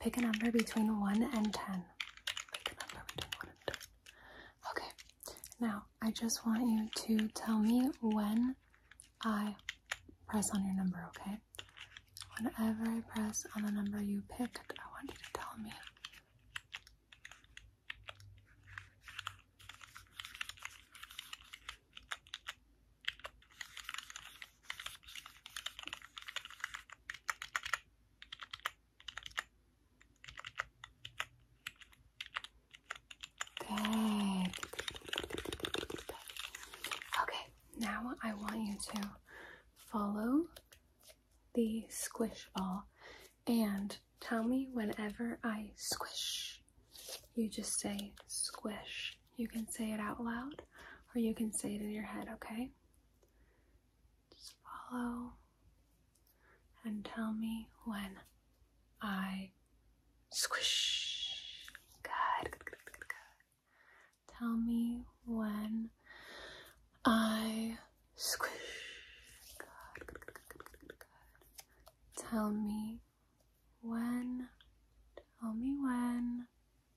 Pick a number between 1 and 10. Pick a number between 1 and 10. Okay, now I just want you to tell me when I press on your number, okay? Whenever I press on the number you picked, I want you to tell me. Good. Okay, now I want you to follow the squish ball and tell me whenever I squish. You just say squish. You can say it out loud or you can say it in your head, okay? Just follow and tell me when I squish. Good, Tell me when I squish. Good, Tell me when. Tell me when.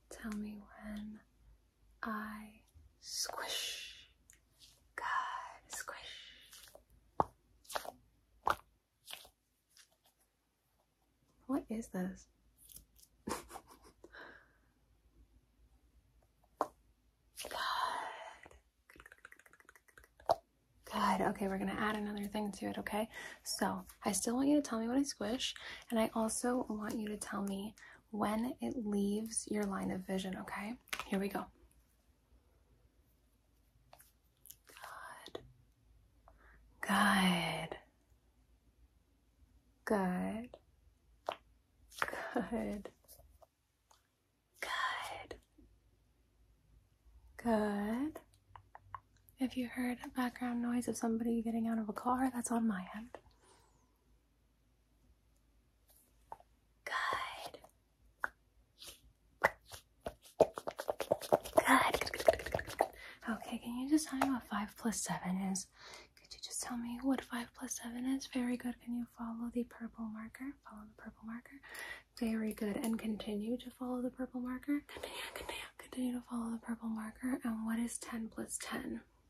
Tell me when I squish. Good. Squish. What is this? Good. Good, Good. Okay, we're going to add another thing to it, okay? So I still want you to tell me what I squish, and I also want you to tell me when it leaves your line of vision, okay? Here we go. Good. Good. Good. Good. Good. Good. If you heard background noise of somebody getting out of a car, that's on my end. Good. Good. Okay, can you just tell me what 5 plus 7 is? Could you just tell me what 5 plus 7 is? Very good. Can you follow the purple marker? Follow the purple marker. Very good. And continue to follow the purple marker. Continue, continue, continue to follow the purple marker. And what is 10 plus 10?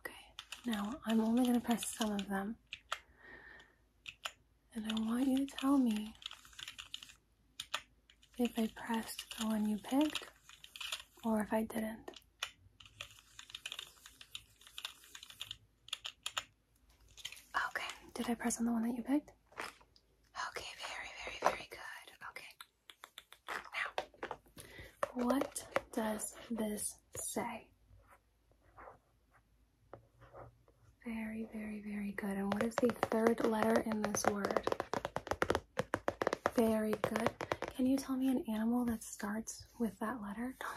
Okay, now I'm only going to press some of them. And I want you to tell me if I pressed the one you picked or if I didn't. Okay, did I press on the one that you picked? Okay, very, very, very good. Okay what does this say? Very, very, very good. And what is the third letter in this word? Very good. Can you tell me an animal that starts with that letter? tell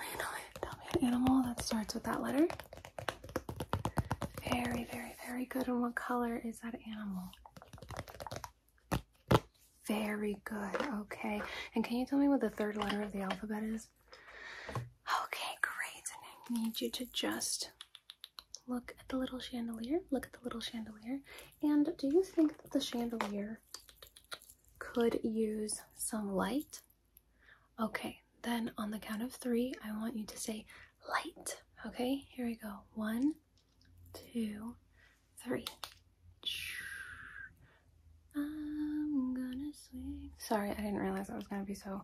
me an animal that starts with that letter. Very, very, very good. And what color is that animal? Very good. Okay. And can you tell me what the third letter of the alphabet is? Okay, great. And I need you to just look at the little chandelier. Look at the little chandelier. And do you think that the chandelier could use some light? Okay, then on the count of three, I want you to say light. Okay, here we go. One, one, two, three. I'm gonna swing. Sorry, I didn't realize I was gonna be so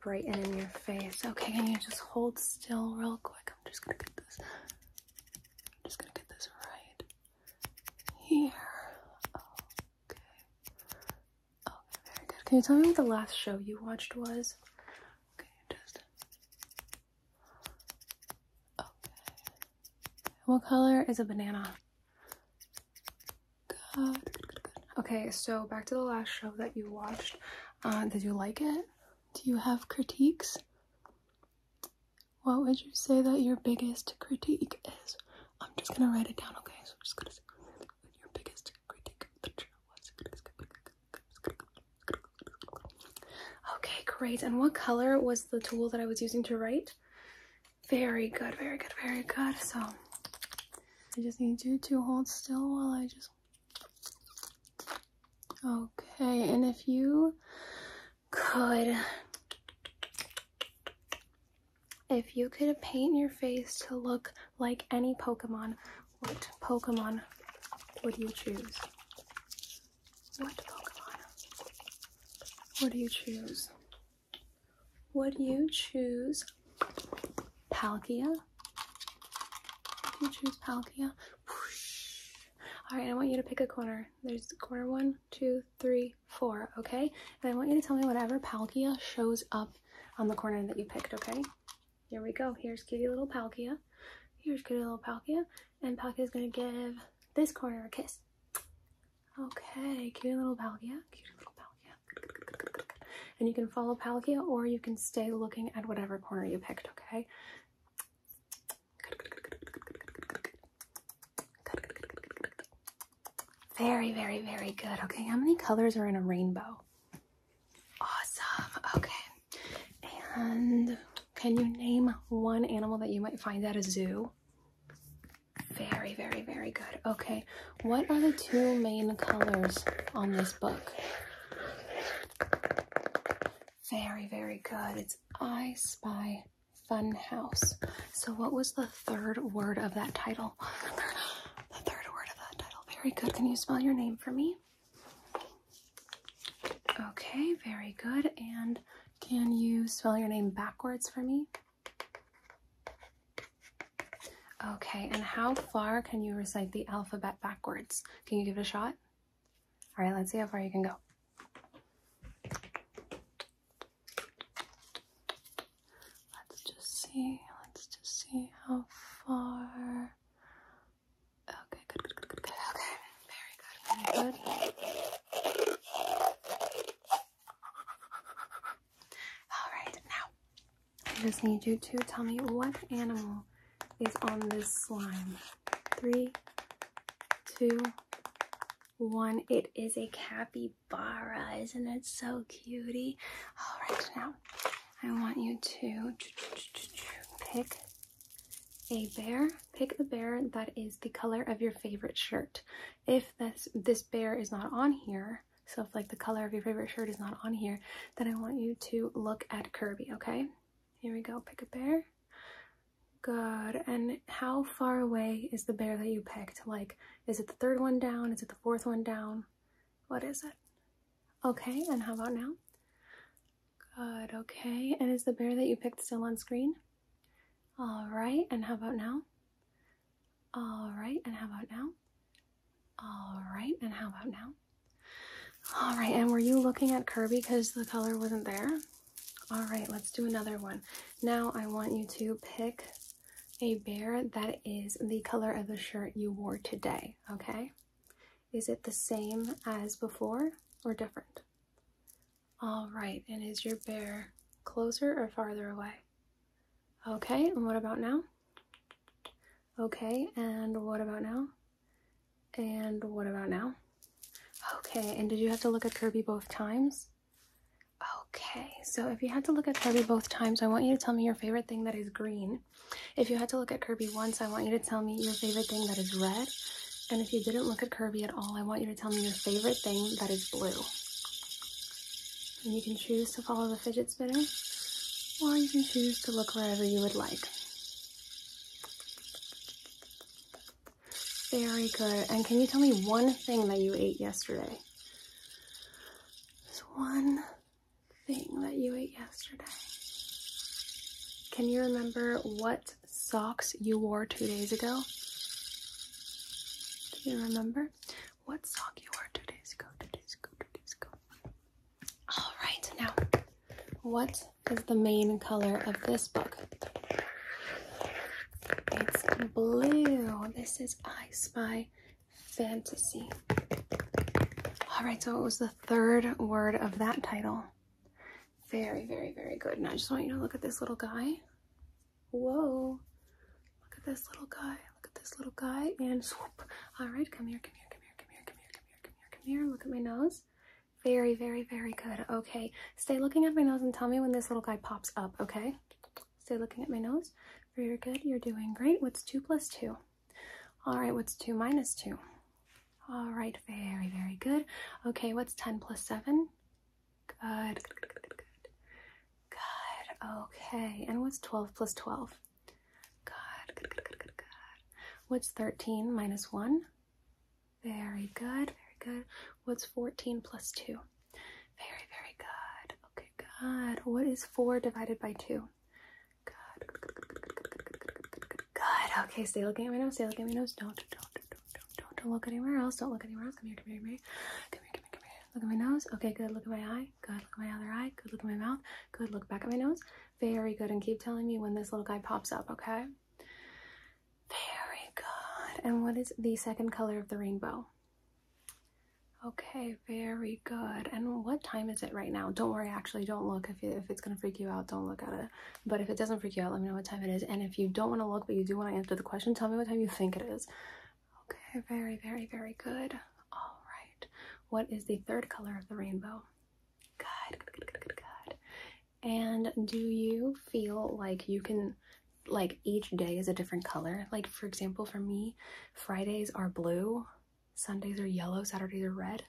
bright in your face. Okay, can you just hold still real quick? I'm just gonna get this. I'm just gonna get this right here. Okay. Okay, very good. Can you tell me what the last show you watched was? Okay, just what color is a banana? Okay, so back to the last show that you watched. did you like it? Do you have critiques? What would you say that your biggest critique is? I'm just gonna write it down, okay? So I'm just gonna say your biggest critique Okay, great. And what color was the tool that I was using to write? Very good, very good, very good. So I just need you to hold still while I just... Okay, and if you could... If you could paint your face to look like any Pokemon, what Pokemon would you choose? What Pokemon? What do you choose? Would you choose Palkia? Would you choose Palkia? Alright, I want you to pick a corner. There's corner one, two, three, four, okay? And I want you to tell me whatever Palkia shows up on the corner that you picked, okay? Here we go. Here's kitty little Palkia. Here's cute little Palkia. And Palkia's gonna give this corner a kiss. Okay, cute little Palkia. Cute little Palkia. And you can follow Palkia or you can stay looking at whatever corner you picked, okay? Very, very, very good. Okay, how many colors are in a rainbow? Awesome. Okay. And can you name one animal that you might find at a zoo? Very, very, very good. Okay, what are the two main colors on this book? Very, very good. It's I Spy Fun House. So what was the third word of that title? The third word of that title. Very good. Can you spell your name for me? Okay, very good. And can you spell your name backwards for me? Okay, and how far can you recite the alphabet backwards? Can you give it a shot? All right, let's see how far you can go. Let's just see, let's just see how far. Okay, good, good, good, good, Okay, very good, very good. All right, now I just need you to tell me what animal is on this slime. Three, two, one. It is a capybara. Isn't it so cutie? All right, now I want you to pick a bear. Pick a bear that is the color of your favorite shirt. If this, this bear is not on here, so if like the color of your favorite shirt is not on here, then I want you to look at Kirby, okay? Here we go, pick a bear. Good, and how far away is the bear that you picked? Like, is it the third one down? Is it the fourth one down? What is it? Okay, and how about now? Good, okay. And is the bear that you picked still on screen? All right, and how about now? All right, and how about now? All right, and how about now? All right, and were you looking at Kirby because the color wasn't there? All right, let's do another one. Now I want you to pick a bear that is the color of the shirt you wore today, okay? Is it the same as before or different? All right, and is your bear closer or farther away? Okay, and what about now? Okay, and what about now? And what about now? Okay, and did you have to look at Kirby both times? Okay, so if you had to look at Kirby both times, I want you to tell me your favorite thing that is green. If you had to look at Kirby once, I want you to tell me your favorite thing that is red. And if you didn't look at Kirby at all, I want you to tell me your favorite thing that is blue. And you can choose to follow the fidget spinner, or you can choose to look wherever you would like. Very good. And can you tell me one thing that you ate yesterday? Just one thing that you ate yesterday. Can you remember what socks you wore two days ago? Do you remember? What sock you wore two days ago? Two days ago, two days ago. All right, now, what is the main color of this book? It's blue. This is I Spy Fantasy. All right, so it was the third word of that title? Very, very, very good. Now I just want you to look at this little guy. Whoa. Look at this little guy. Look at this little guy. And swoop. All right, come here, come here, come here, come here, come here, come here, come here, come here. Look at my nose. Very, very, very good. Okay, stay looking at my nose and tell me when this little guy pops up, okay? Stay looking at my nose. Very good, you're doing great. What's 2 plus 2? All right, what's 2 minus 2? All right, very, very good. Okay, what's 10 plus 7? Good, good, good, good, good. Good, okay. And what's 12 plus 12? Good, good, good, good, good, good. What's 13 minus 1? Very good, very good. What's 14 plus 2? Very, very good. Okay, good. What is 4 divided by 2? Good, good, good, good, good, good, good, good, Good. Okay, stay looking at my nose. Stay looking at my nose. Don't, don't, don't, don't, don't, don't look anywhere else. Don't look anywhere else. Come here, come here, come here. Come here, come here, Look at my nose. Okay, good. Look at my eye. Good. Look at my other eye. Good. Look at my mouth. Good. Look back at my nose. Very good. And keep telling me when this little guy pops up, okay? Very good. And what is the second color of the rainbow? Okay, very good. And what time is it right now? Don't worry, actually, don't look. If, if it's going to freak you out, don't look at it. But if it doesn't freak you out, let me know what time it is. And if you don't want to look but you do want to answer the question, tell me what time you think it is. Okay, very, very, very good. All right. What is the third color of the rainbow? Good, good, good, good, good, And do you feel like you can, like each day is a different color? Like for example, for me, Fridays are blue, Sundays are yellow, Saturdays are red.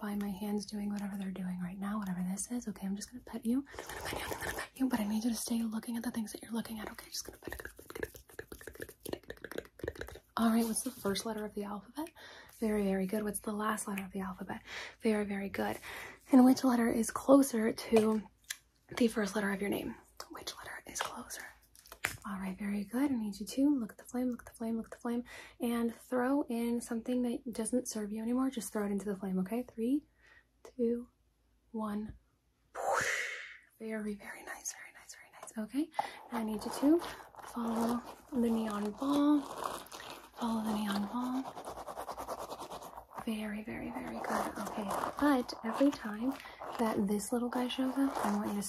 by my hands doing whatever they're doing right now, whatever this is. Okay, I'm just gonna pet you. I'm gonna pet you. But I need you to stay looking at the things that you're looking at. Okay, just gonna pet. All right. What's the first letter of the alphabet? Very, very good. What's the last letter of the alphabet? Very, very good. And which letter is closer to the first letter of your name? Which letter is closer? All right, very good. I need you to look at the flame, look at the flame, look at the flame, and throw in something that doesn't serve you anymore. Just throw it into the flame, okay? Three, two, one. Very, very nice, very nice, very nice. Okay, I need you to follow the neon ball. Follow the neon ball. Very, very, very good. Okay, but every time that this little guy shows up, I want you to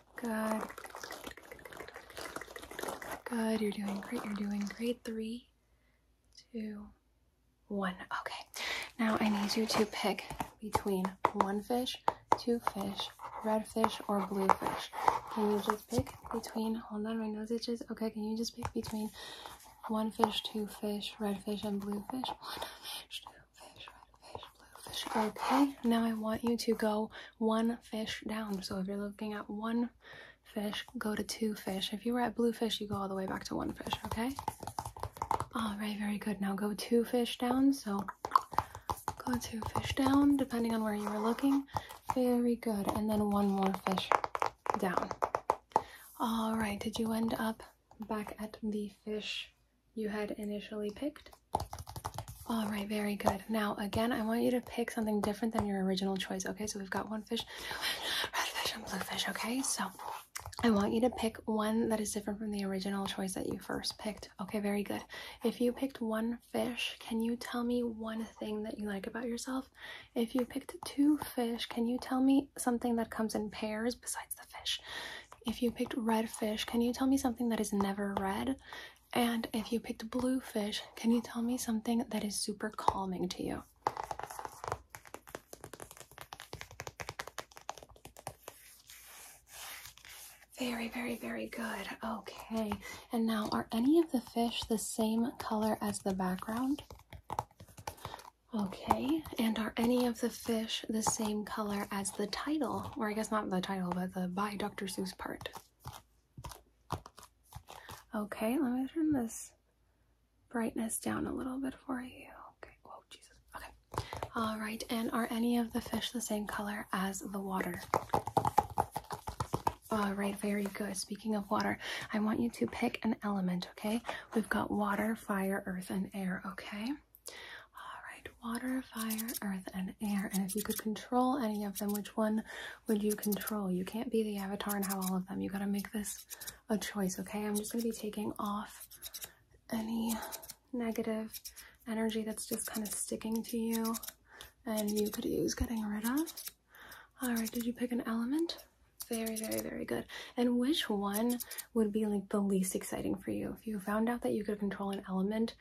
Good. Good. You're doing great. You're doing great. Three, two, one. Okay. Now I need you to pick between one fish, two fish, red fish, or blue fish. Can you just pick between, hold on, my nose itches. Okay, can you just pick between one fish, two fish, red fish, and blue fish? One fish, two fish, red Okay, Now I want you to go one fish down. So if you're looking at one fish, go to two fish. If you were at blue fish, you go all the way back to one fish, okay? All right, very good. Now go two fish down. So go two fish down, depending on where you were looking. Very good. And then one more fish down. All right, did you end up back at the fish you had initially picked? All right, very good. Now, again, I want you to pick something different than your original choice, okay? So we've got one fish, red fish, and blue fish, okay? So I want you to pick one that is different from the original choice that you first picked. Okay, very good. If you picked one fish, can you tell me one thing that you like about yourself? If you picked two fish, can you tell me something that comes in pairs besides the fish? If you picked red fish, can you tell me something that is never red? And if you picked blue fish, can you tell me something that is super calming to you? Very, very, very good. Okay. And now, are any of the fish the same color as the background? Okay. And are any of the fish the same color as the title? Or I guess not the title, but the by Dr. Seuss part. Okay, let me turn this brightness down a little bit for you. Okay, whoa, Jesus. Okay, all right. And are any of the fish the same color as the water? All right, very good. Speaking of water, I want you to pick an element, okay? We've got water, fire, earth, and air, okay? All right, water, fire, earth, and air. And if you could control any of them, which one would you control? You can't be the avatar and have all of them. You got to make this a choice, okay? I'm just going to be taking off any negative energy that's just kind of sticking to you and you could use getting rid of. All right, did you pick an element? Very, very, very good. And which one would be like the least exciting for you? If you found out that you could control an element,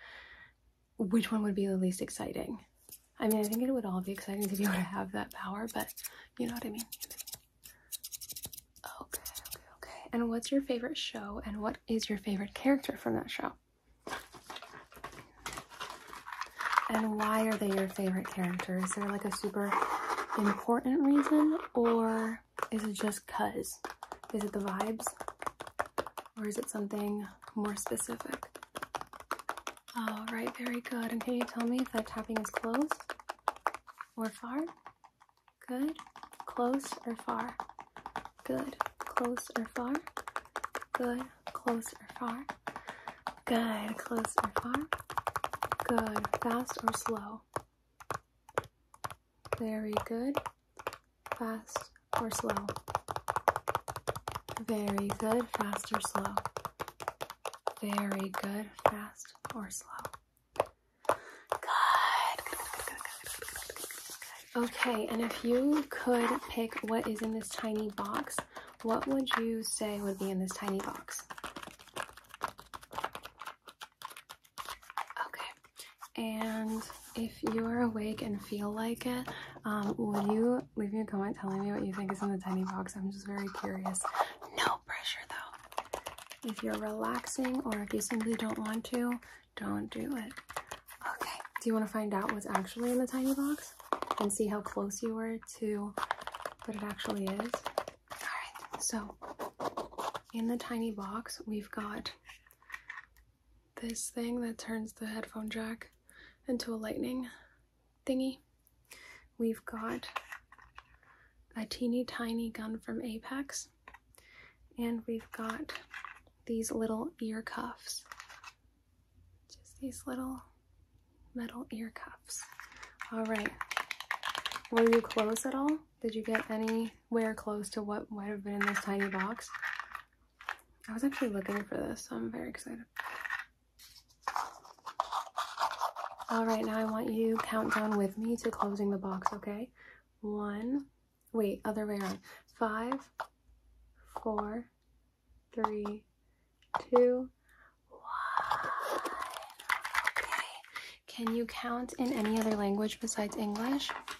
which one would be the least exciting. I mean, I think it would all be exciting to be able to have that power, but you know what I mean. Okay, okay, okay. And what's your favorite show and what is your favorite character from that show? And why are they your favorite character? Is there like a super important reason or is it just cuz? Is it the vibes? or is it something more specific? All right, very good. And can you tell me if that tapping is close or far? Good. Close or far? Good. Close or far? Good. Close or far? Good. Close or far? Good. Fast or slow? Very good fast or slow. Very good, fast or slow. Very good, fast or slow. Good. Okay, and if you could pick what is in this tiny box, what would you say would be in this tiny box? Okay, and if you're awake and feel like it, um, will you leave me a comment telling me what you think is in the tiny box? I'm just very curious. No pressure though. If you're relaxing or if you simply don't want to, don't do it. Okay, do you want to find out what's actually in the tiny box and see how close you were to what it actually is? Alright, so in the tiny box, we've got this thing that turns the headphone jack into a lightning thingy. We've got a teeny tiny gun from Apex and we've got these little ear cuffs. Just these little metal ear cuffs. All right. Were you close at all? Did you get anywhere close to what might have been in this tiny box? I was actually looking for this, so I'm very excited. All right, now I want you to count down with me to closing the box, okay? One, wait, other way around. Five, four, three, two, one. Okay. Can you count in any other language besides English?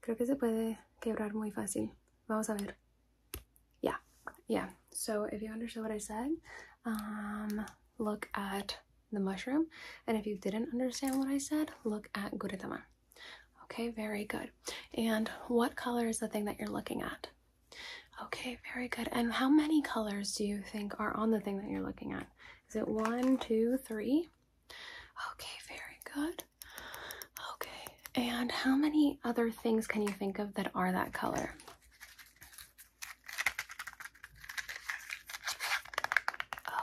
creo que se puede quebrar muy fácil. Vamos a ver. Yeah, yeah. So if you understood what I said, um, look at the mushroom. And if you didn't understand what I said, look at guretama. Okay, very good. And what color is the thing that you're looking at? Okay, very good. And how many colors do you think are on the thing that you're looking at? Is it one, two, three? Okay, very good. Okay, and how many other things can you think of that are that color?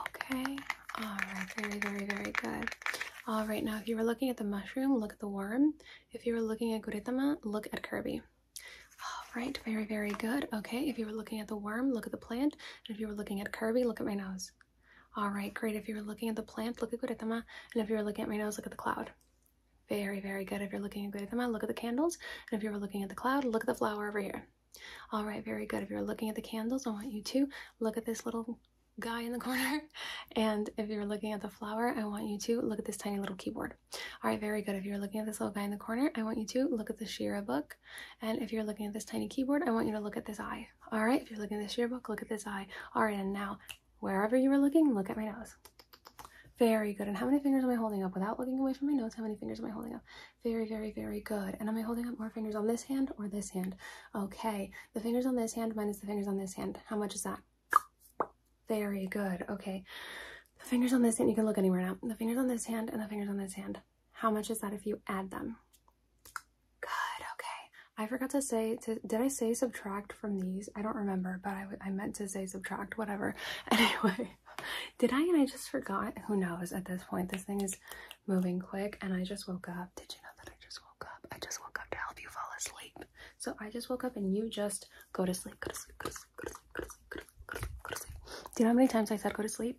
Okay, all right, very, very, very good. All right, now if you were looking at the mushroom, look at the worm. If you were looking at Guritama, look at Kirby. All right, very, very good. Okay, if you were looking at the worm, look at the the plant. And if you were looking at Kirby, look at my nose. All right, great. If you were looking at the plant, look at Guritama. And if you were looking at my nose, look at the cloud. Very, very good. If you're looking at Guritama, look at the candles. And if you were looking at the cloud, look at the flower over here. All right, very good. If you're looking at the candles, I want you to look at this little guy in the corner. And if you're looking at the flower, I want you to look at this tiny little keyboard. All right, very good. If you're looking at this little guy in the corner, I want you to look at the Shira book. And if you're looking at this tiny keyboard, I want you to look at this eye. All right, if you're looking at this yearbook, look at this eye. All right, and now wherever you are looking, look at my nose. Very good. And how many fingers am I holding up without looking away from my nose? How many fingers am I holding up? Very, very, very good. And am I holding up more fingers on this hand or this hand? Okay. The fingers on this hand minus the fingers on this hand. How much is that? Very good. Okay. The fingers on this hand, you can look anywhere now. The fingers on this hand and the fingers on this hand. How much is that if you add them? Good, okay. I forgot to say, did I say subtract from these? I don't remember, but I, I meant to say subtract, whatever. Anyway, did I and I just forgot? Who knows at this point? This thing is moving quick and I just woke up. Did you know that I just woke up? I just woke up to help you fall asleep. So I just woke up and you just go to sleep, go to sleep, go to sleep, go to sleep, go to sleep, go to sleep. Do you know how many times I said go to sleep?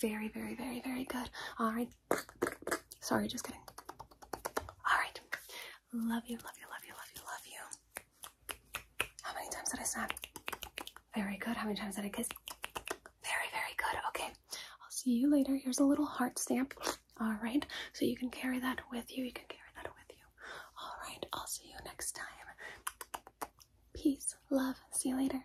Very, very, very, very good. All right. Sorry, just kidding. All right. Love you, love you, love you, love you, love you. How many times did I snap? Very good. How many times did I kiss? Very, very good. Okay. I'll see you later. Here's a little heart stamp. All right. So you can carry that with you. You can carry that with you. All right. I'll see you next time. Peace, love. See you later.